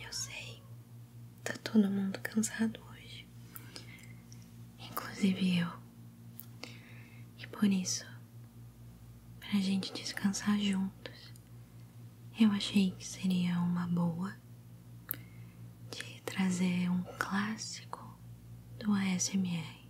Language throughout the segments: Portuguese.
Eu sei, tá todo mundo cansado hoje, inclusive eu, e por isso, pra gente descansar juntos, eu achei que seria uma boa de trazer um clássico do ASMR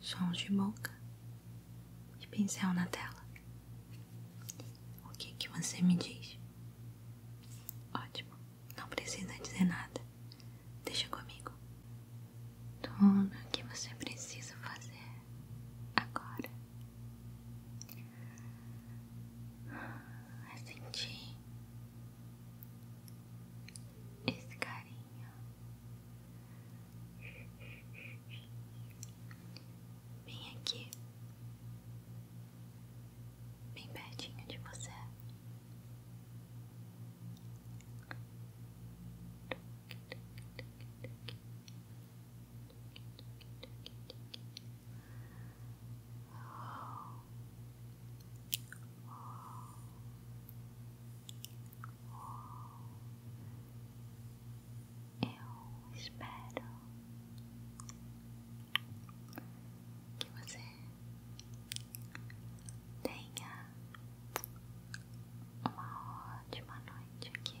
sons de boca e pincel na tela. O que, que você me diz? Ótimo, não precisa dizer nada. Deixa comigo. Tudo o que você precisa fazer agora é sentir esse carinho bem aqui, bem pertinho de você. Eu espero que você tenha uma ótima noite aqui.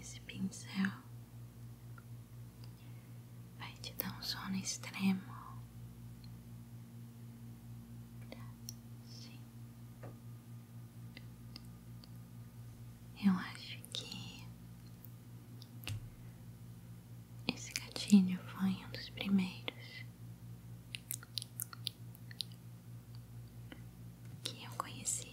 esse pincel vai te dar um sono extremo. Eu acho que esse gatilho foi um dos primeiros que eu conheci.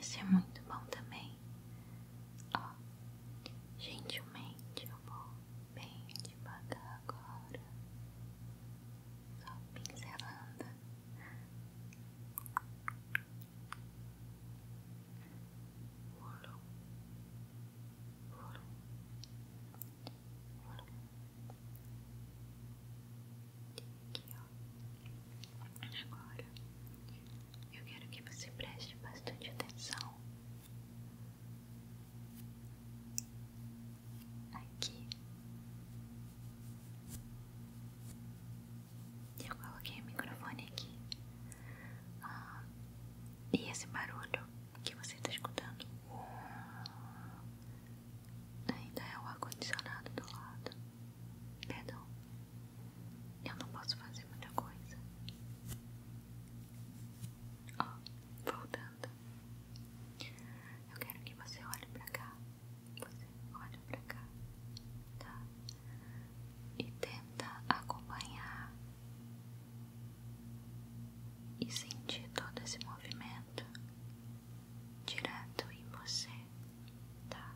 Esse é muito bom também. Ó, gentilmente eu vou bem devagar agora. Só pincelando. Volo. Volo. Volo. Aqui, ó. Agora eu quero que você preste bastante atenção. Aqui eu coloquei o microfone aqui ah, e esse barulho que você está escutando ainda é o ar-condicionado do lado. Perdão, eu não posso fazer muita coisa. Ó, voltando. Eu quero que você olhe pra cá. Você olhe pra cá, tá? E tenta acompanhar e sentir todo esse movimento direto em você, tá?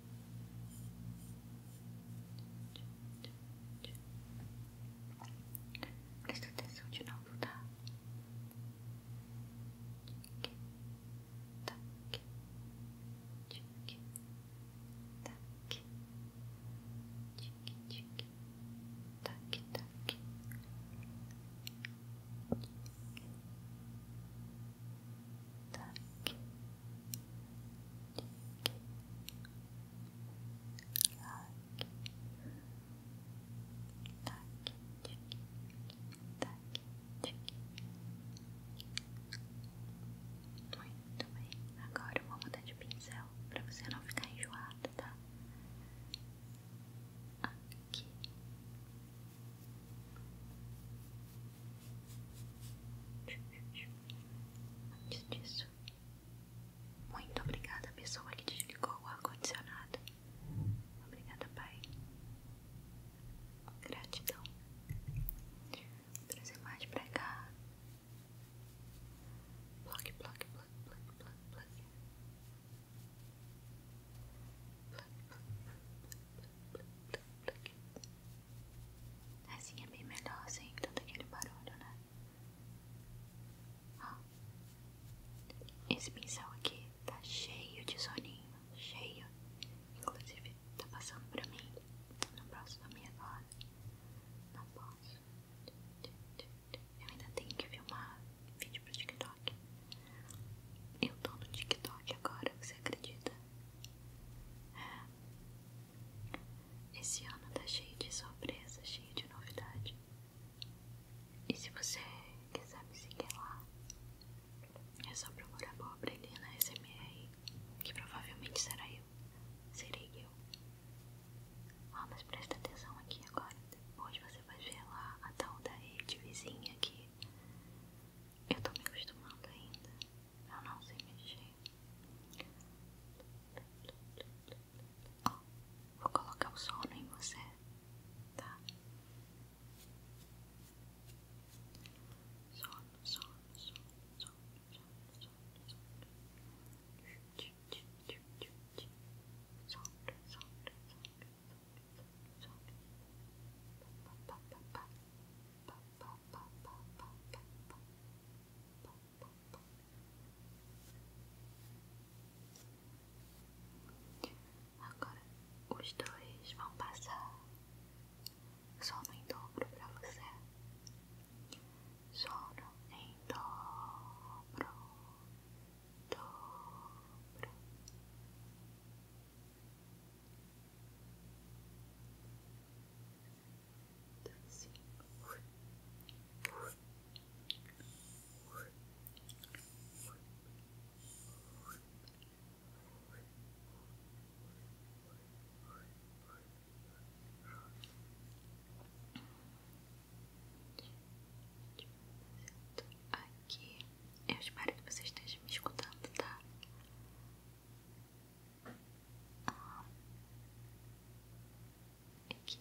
Presta atenção de novo, tá? Tic, tac, tic, tac, tic, tic, tac, tac, tic, tac, tac, tic, tac, tic. Muito bem, agora eu vou mudar de pincel para você não ficar enjoado, tá? Aqui, Antes disso, muito obrigada à pessoa que desligou o ar-condicionado. Obrigada, Pai. Gratidão. Vou trazer mais pra cá. Plug, plug, plug, plug, plug, plug. Plug, plug, plug, plug, plug, Assim é bem melhor sem assim, tanto aquele barulho, né? Ó, esse pincel aqui tá cheio de soninho, cheio. Inclusive, tá passando pra mim. Não posso dormir agora. Não posso. Eu ainda tenho que filmar vídeo pro TikTok. Eu tô no TikTok agora, você acredita? Esse ano tá cheio de surpresa, cheio de novidade. E se você quiser me seguir lá, é só procurar pobre ali na SMR, que provavelmente será eu. Serei eu. Ah, mas presta atenção aqui agora. Hoje você vai ver lá a tal da rede vizinha aqui. Eu tô me acostumando ainda. Eu não sei mexer. Oh, vou colocar o sono em você, tá? Sono, sono, sono, sono, sono, sono, sono. Sono, sono, sono, sono. Agora os dois vão passar sono em dobro para você. Sono em dobro, dobro, Assim. Aqui eu espero que você esteja me escutando, tá? Ah. aqui.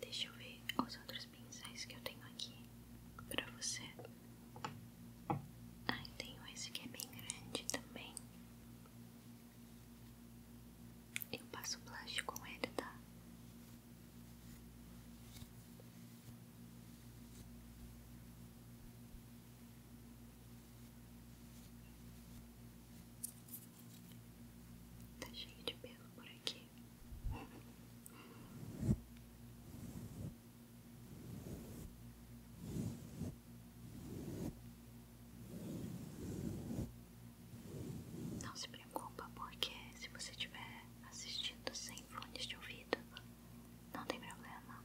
Deixa eu ver os outros pincéis que eu tenho aqui pra você. Ai, tenho esse que é bem grande também. Eu passo blush com ele, tá? Tá cheio de pelo por aqui. Não se preocupa, porque se você estiver assistindo sem fones de ouvido, não tem problema.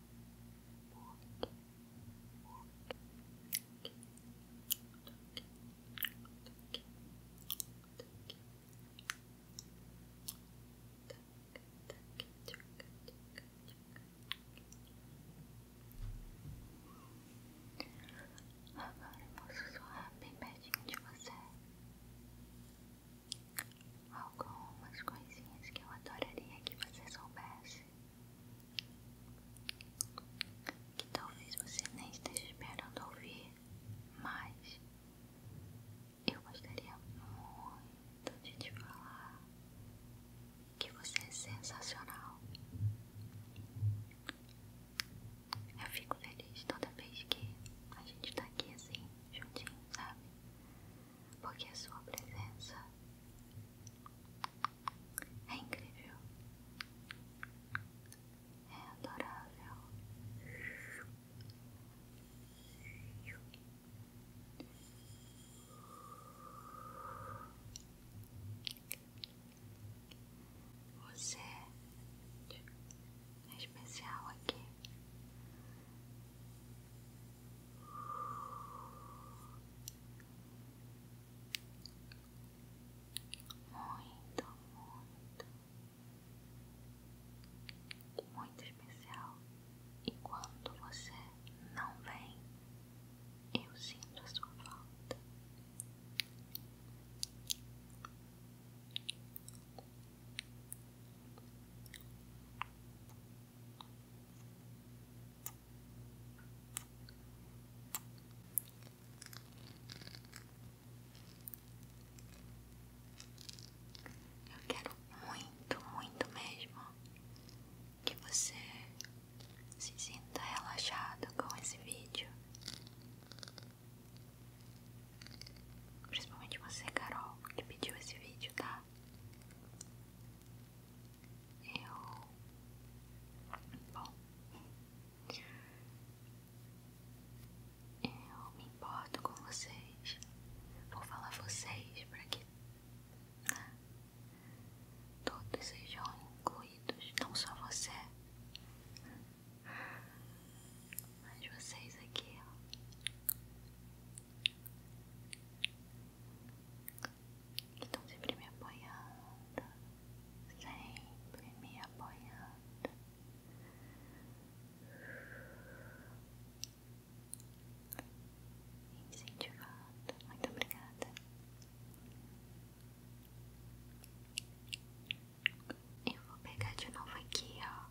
Agora eu posso soar bem pertinho de você. Algumas coisinhas que eu adoraria que você soubesse que talvez você nem esteja esperando ouvir, mas eu gostaria muito de te falar que você é sensacional. Eu fico feliz toda vez que a gente está aqui assim, juntinho, sabe? Porque a sua presença é incrível. É adorável. Você é especial aqui muito, muito, muito especial. E quando você não vem, eu sinto a sua falta. Eu quero muito, muito mesmo que você se sinta relaxado com esse vídeo. Principalmente você, Carol, que pediu esse vídeo, tá? Eu. Bom. Eu me importo com vocês. Vou falar vocês para que todos sejam incluídos, não só você. Mas vocês aqui, então sempre me apoiando, sempre me apoiando. Incentivado, muito obrigada. Eu vou pegar de novo aqui, ó.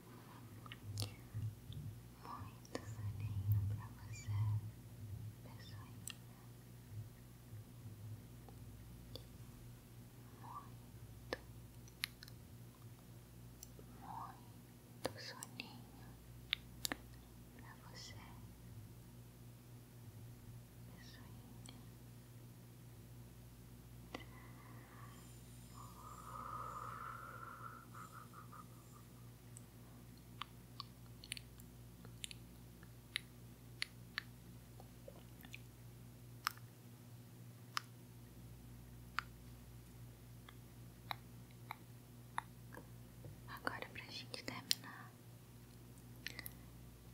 Muito soninho pra você, pessoinha. Muito, muito soninho pra você, pessoinha. Relaxa. Agora, pra gente terminar,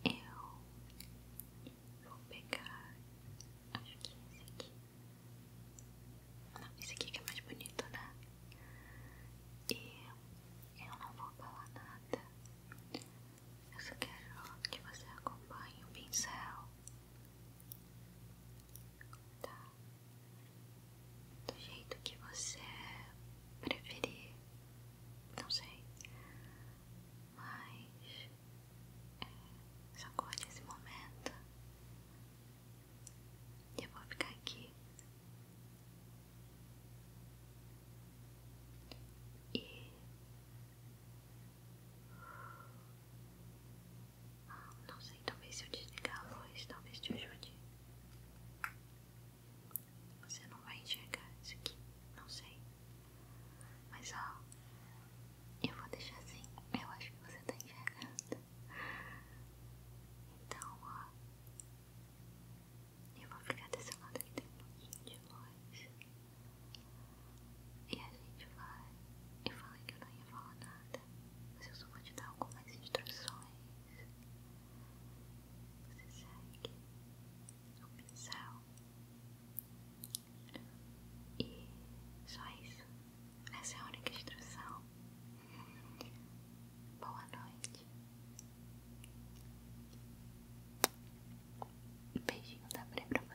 eu vou pegar. Acho que esse aqui. Não, esse aqui que é mais bonito, né? E eu não vou falar nada. Eu só quero que você acompanhe o pincel. Tá? Do jeito que você preferir. Não sei. Mas é, só colhe esse momento eu vou ficar aqui e ah, não sei, talvez se eu desligar a luz, talvez te ajude. Você não vai enxergar isso aqui, não sei. Mas ó, eu vou deixar assim. Eu acho que você tá enxergando. Então, ó. Eu vou ficar desse lado aqui tem um pouquinho de luz. E a gente vai. Eu falei que eu não ia falar nada, mas eu só vou te dar algumas instruções. Você segue o pincel. E só isso. Essa é a única instrução. Boa noite. Beijinho da tá Pri pra você.